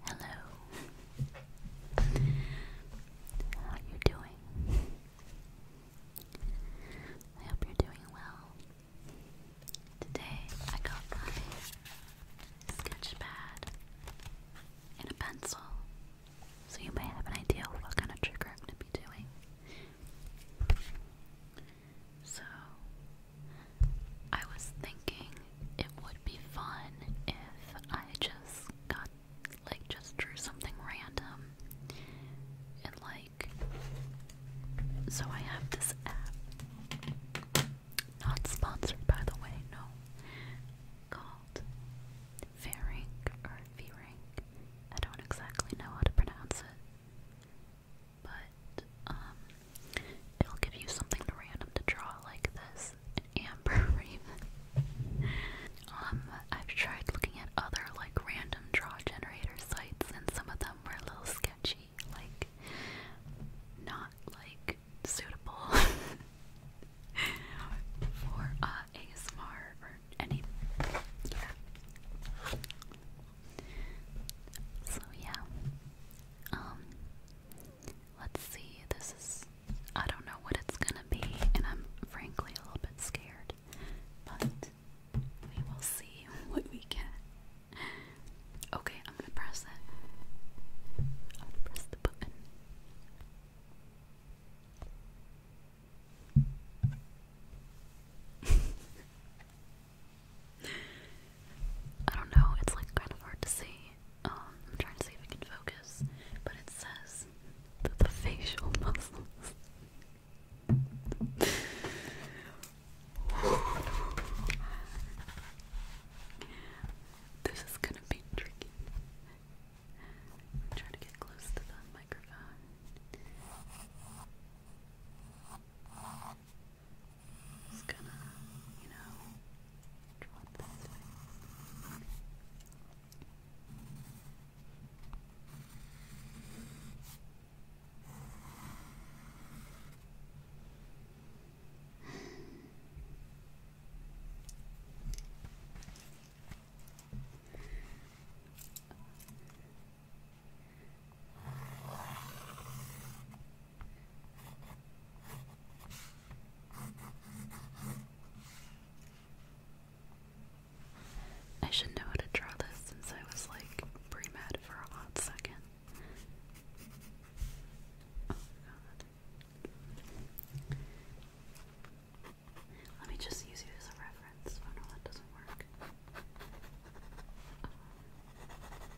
Hello. How are you doing? I hope you're doing well. Today I got my sketch pad and a pencil. So you may have an idea what kind of trigger I'm going to be doing. So I was thinking it would be fun if I just got like just drew something random and like so I have this app not sponsored by the way no called Fearing or Fearing I don't exactly know how to pronounce it but um, it'll give you something random to draw like this, amber raven. um, I've tried looking at other like random draw generator sites, and some of them were a little sketchy, like not like suitable for uh, ASMR or any. Yeah. So yeah, um, let's see. This is I don't know what it's gonna be, and I'm frankly a little bit scared. But we will see what we get. Okay, I'm gonna press it. I'm gonna press the button. I don't know, it's like kind of hard to see. Um, I'm trying to see if I can focus, but it says that the facial muscles. this is gonna be tricky. trying to get close to the microphone. It's gonna, you know, drop this way. I should know how to draw this since I was like pre for a hot second. Oh, Let me just use you as a reference. Oh no, that doesn't work.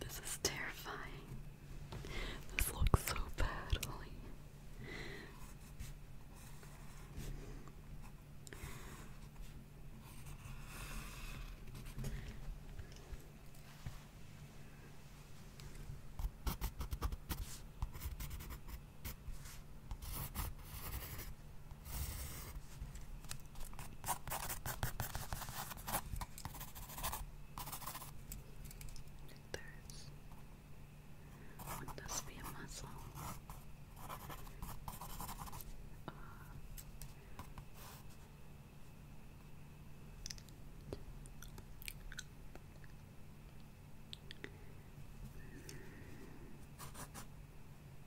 This is terrifying. This looks so bad, there's, would this be muscle?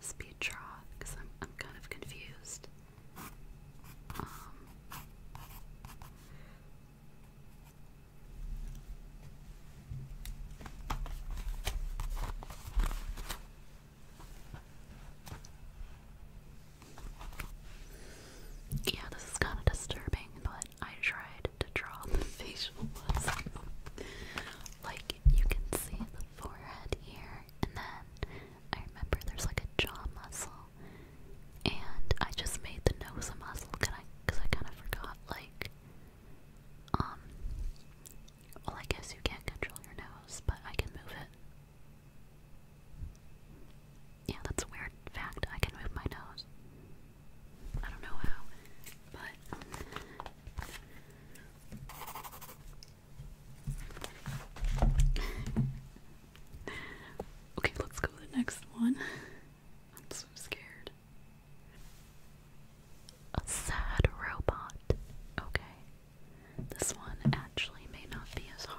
Speed draw, because I'm I'm kind of confused. Um, yeah, this is kind of disturbing, but I tried to draw the facial muscles. like, you can see the forehead here, and then I remember there's like a jaw muscle, and I just made the nose a muscle because I, I kind of forgot, like, um, well, I guess you can't control your nose, but I can move it. Yeah, that's a weird fact. I can move my nose. I don't know how, but. okay, let's go to the next one. I'm so scared a sad robot. Okay. This one actually may not be as hard.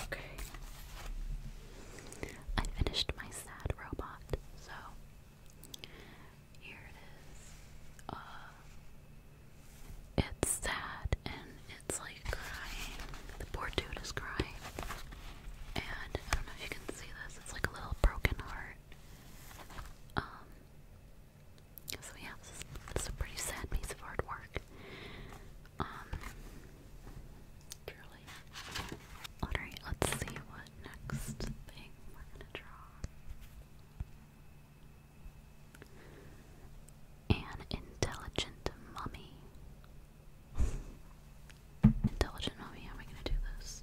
Okay. I finished my sad robot, so here it is. Uh, it's sad and it's like crying. The poor dude is crying. And I don't know if you can see this, it's like a little broken heart. Um, so yeah, this is, this is a pretty sad piece of artwork. Um, Alright, let's see what next thing we're gonna draw. An intelligent mummy. Intelligent mummy, how am I gonna do this?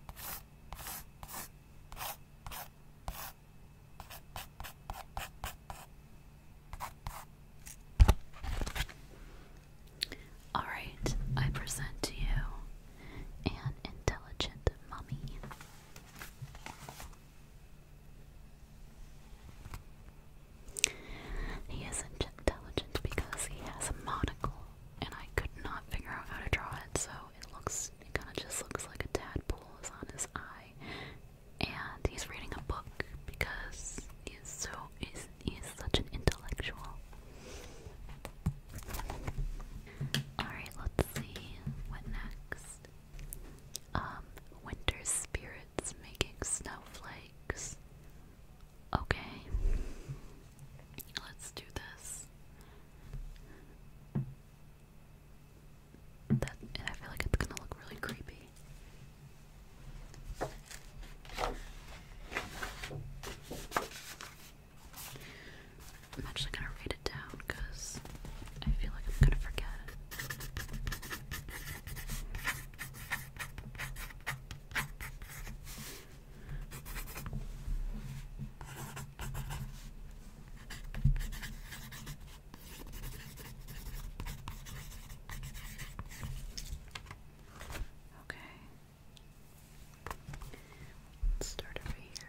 All right, I present to you an intelligent mummy. He is intelligent because he has a monocle and I could not figure out how to draw it, so it looks, it kind of just looks like a tadpole is on his eye, and he's reading a book because he's so, he's, he's such an intellectual. Alright, let's see what next. Um, winter spirits making snowflakes. Okay. Let's do this. and I feel like it's gonna look really creepy. I'm actually gonna read it down because I feel like I'm gonna forget. Okay. Let's start over here.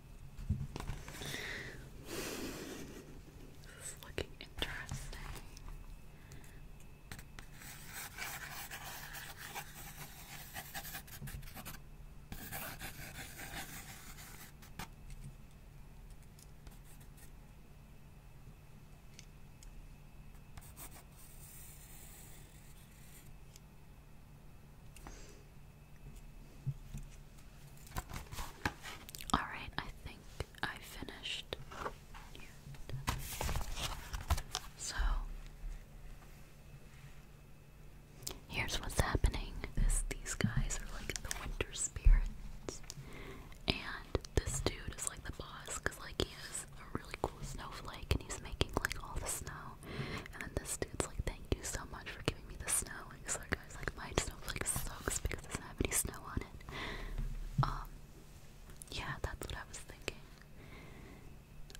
This is looking interesting. Alright, I think I finished. So, here's what's happening. This these guys are like the winter spirits. And this dude is like the boss because like he is a really cool snowflake and he's making like all the snow. And then this dude's like, thank you so much for giving me the snow. And this other guy's like, my snowflake sucks because it doesn't have any snow on it. Um, yeah, that's what I was thinking.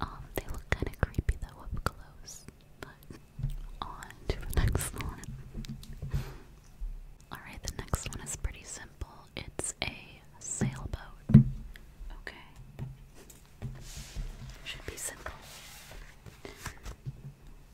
Um, they look kind of creepy though up close. But on to the next one. Alright, the next one is pretty simple. It's a sailboat. Okay. Should be simple.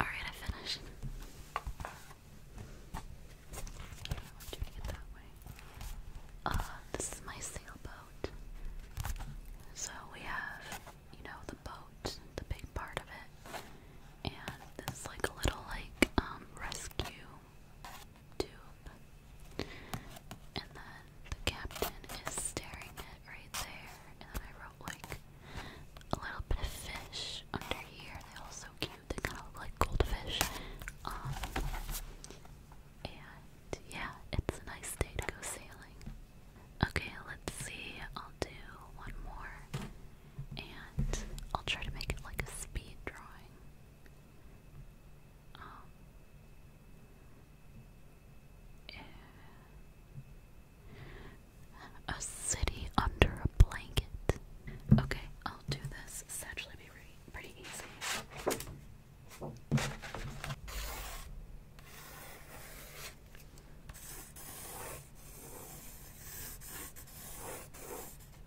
All right, I finished. Uh, this is my sailboat. So we have, you know, the boat, the big part of it, and this like little like um, rescue tube. And then the captain is staring at right there. And then I wrote like a little bit of fish under here. They all so cute. They kind of look like goldfish. Um, and yeah, it's a nice day to go sailing. Okay, let's see. I'll do one more. And I'll try to make it like a speed drawing. Um, a city under a blanket. Okay, I'll do this. It's actually be pretty easy.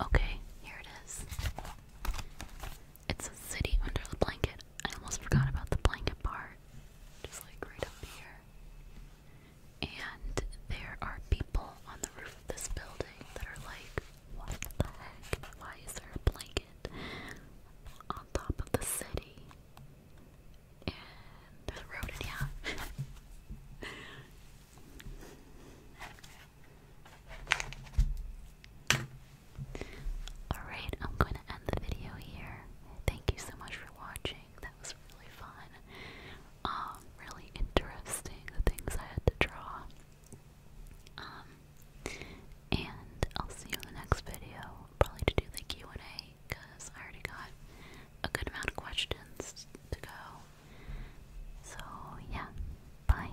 Okay, here it is. It's a city under the blanket. I almost forgot about the blanket part. Just like right up here. And there are people on the roof of this building that are like, what the heck? Why is there a blanket on top of the city? And there's a road in yeah. Alright, I'm going to end the video here. Thank you so much for watching. That was really fun. Um, really interesting, the things I had to draw. Um, and I'll see you in the next video, probably to do the Q&A, because I already got a good amount of questions to go. So, yeah. Bye.